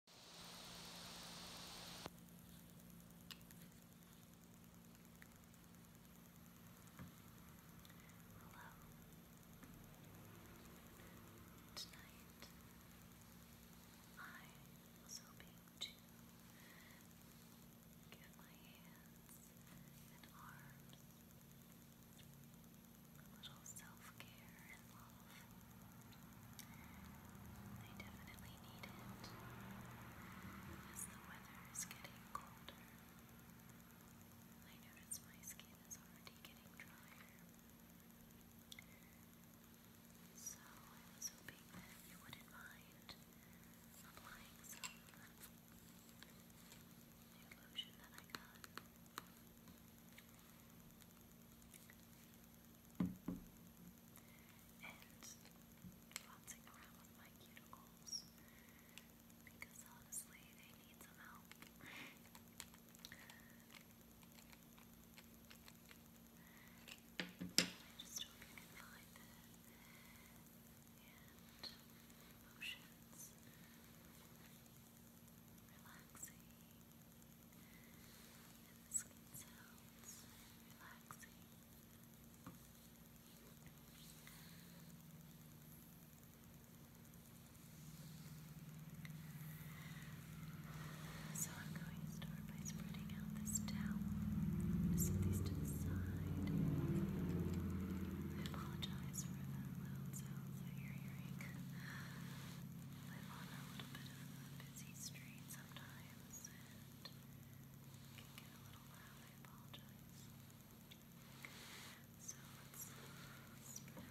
Hello. Tonight I was hoping to get my hands and arms a little self-care and love. I definitely need it as the weather is getting colder. I notice my skin is already getting drier. So I was hoping that you wouldn't mind applying some new lotion that I got and bouncing around with my cuticles because honestly they need some help. I just hope you can find it and motions relaxing, So I'm going to start by spreading out this towel. set these to the side. I apologize for the loud sounds that you hearing live on a little bit of a busy street sometimes and can get a little loud. I apologize. So let's spread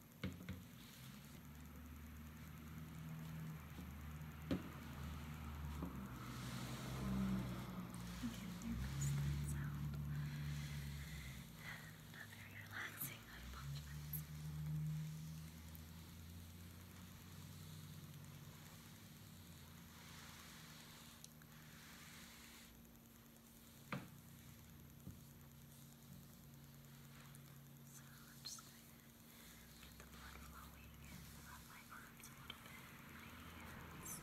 there goes that sound. Not very relaxing, I apologize. So I'm just going to Get the blood flowing and rub my arms a little bit, my hands. Just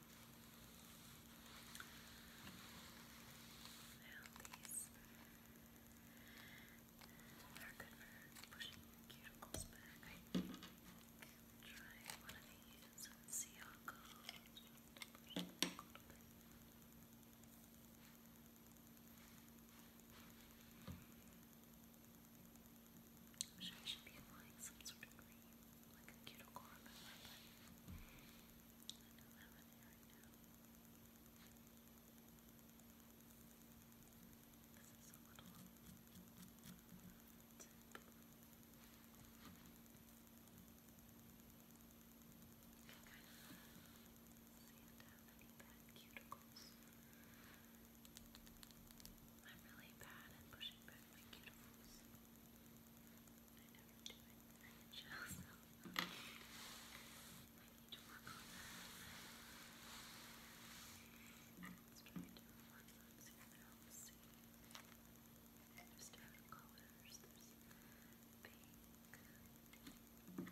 Now these are good for pushing your cuticles back, I think. We'll try one of these and see how it goes. Push it back a little bit. Okay. I'm sure I should be applying some sort of cream, like a cuticle remover, but I don't sand down any bad cuticles. I'm really bad at pushing back my cuticles. I never do it, and it shows. I need to work on that. Let's try to work on see There's different colors. There's pink, blue,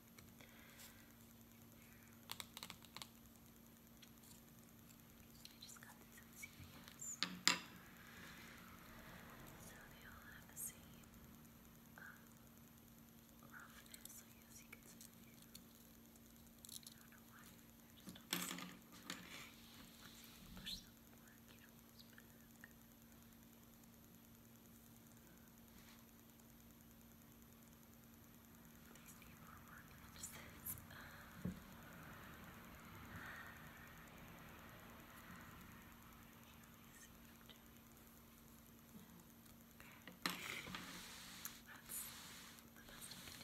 So I just got these on CVS. So they all have the same um, roughness, I guess you could say. I don't know why, they're just on the same. Push them more, get almost back. There we go. These people are more than just this. Uh, Okay. That's the best I can do with it right now. So let's just. Okay.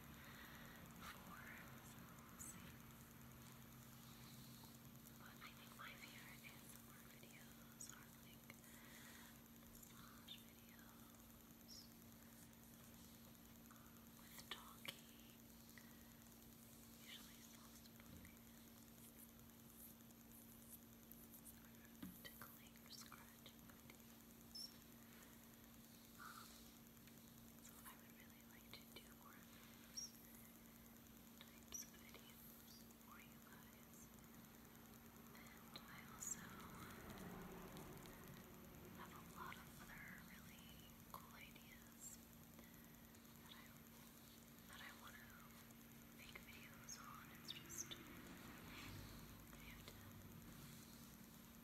four. So But I think my favorite ASMR videos are like massage videos with talking, um, usually soft-spoken, tickling or scratching so I would really like to do more of those types of videos for you guys. And I also have a lot of other really cool ideas that I want to make videos on. It's just I have to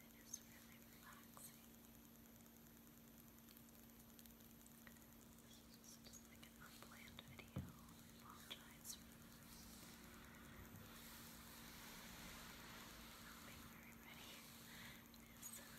It is really relaxing. This is just, just like an unplanned video. I apologize for not being very ready. This uh, I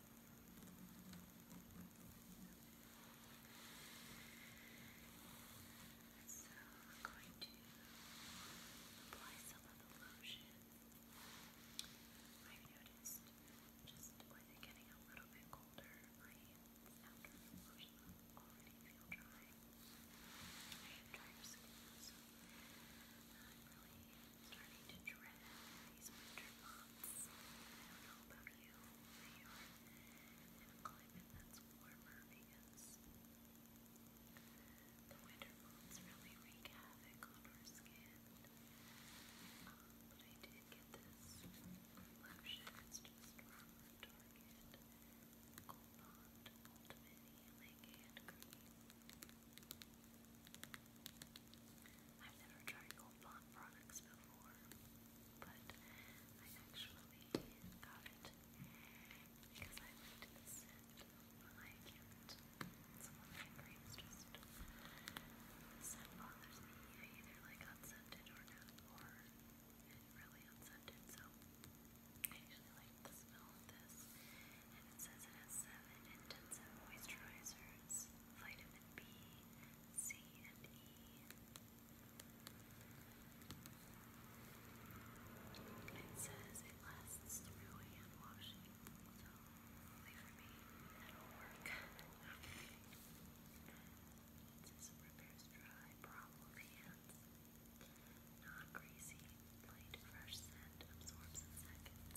So we're going to apply some of the lotion. I've noticed just with it getting a little bit colder, my hands after the lotion already feel dry. I have dry skin, so starting to dread these winter months. I don't know about you, but you're in a climate that's warmer because the winter months really wreak havoc on our skin. but I did get this lotion, it's just from Target. Gold Bond Ultimate Healing Hand Cream. I've never tried Gold Bond products before, but I actually got it because I liked the scent. I can't. Some of my creams just the scent bothers me. I either like unscented or not, or really unscented. So I actually like the smell of this, and it says it has seven intensive moisturizers, B, C, and It says it lasts through hand washing, so me that work. it says repairs dry, problem hands, non greasy, plate fresh scent and absorbs in seconds.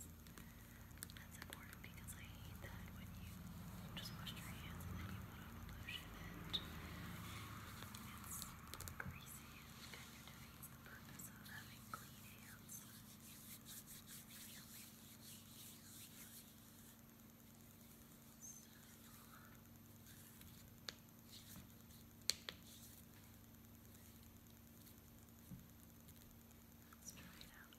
That's important because I hate that when you just wash your hands and then you put on lotion and it's greasy and kind of defeats the purpose of having clean hands. Let's try it out.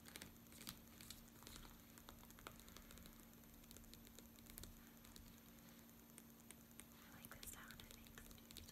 I like the sound it makes. It's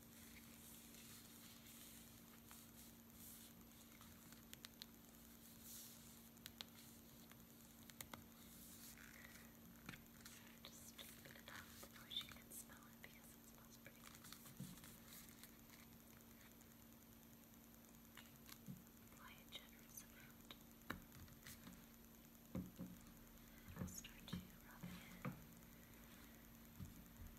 Just put it out. I wish you could smell it because it smells pretty good. Apply a generous amount. I'll start to rub it in. Just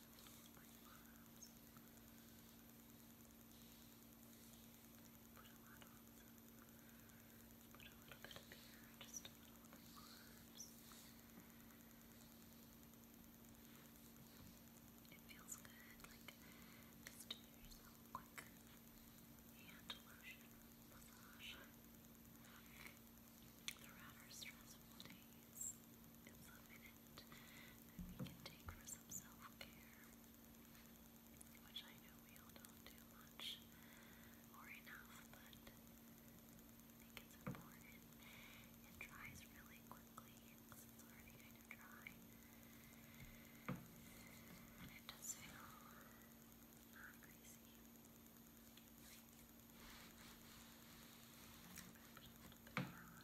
Put a little bit of here, just a little bit of It feels good, like just do yourself a hand lotion massage. The rather stressful day is, is a minute that we can take for some self-care, which I know we all don't do much or enough, but I think it's important. It dries really quickly it's already kind of dry. And it does feel not greasy.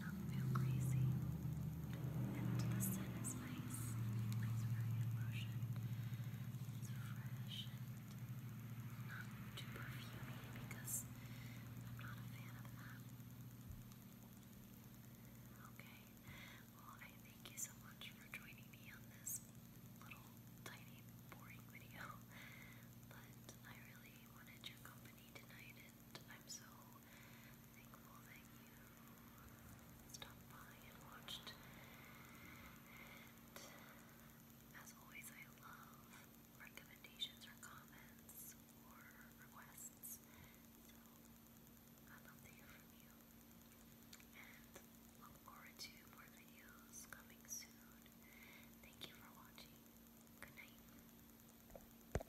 not feel crazy. And the sun is nice, nice brilliant lotion. It's fresh and not too perfumey because I'm not a fan of that. Okay, well, I thank you so much for joining me on this little tiny boring video, but I really wanted your company tonight, and I'm so thankful that you stopped by and watched. as always, I love recommendations or comments or requests. i love to hear from you. look forward to more videos coming soon. Thank you for watching. Good night.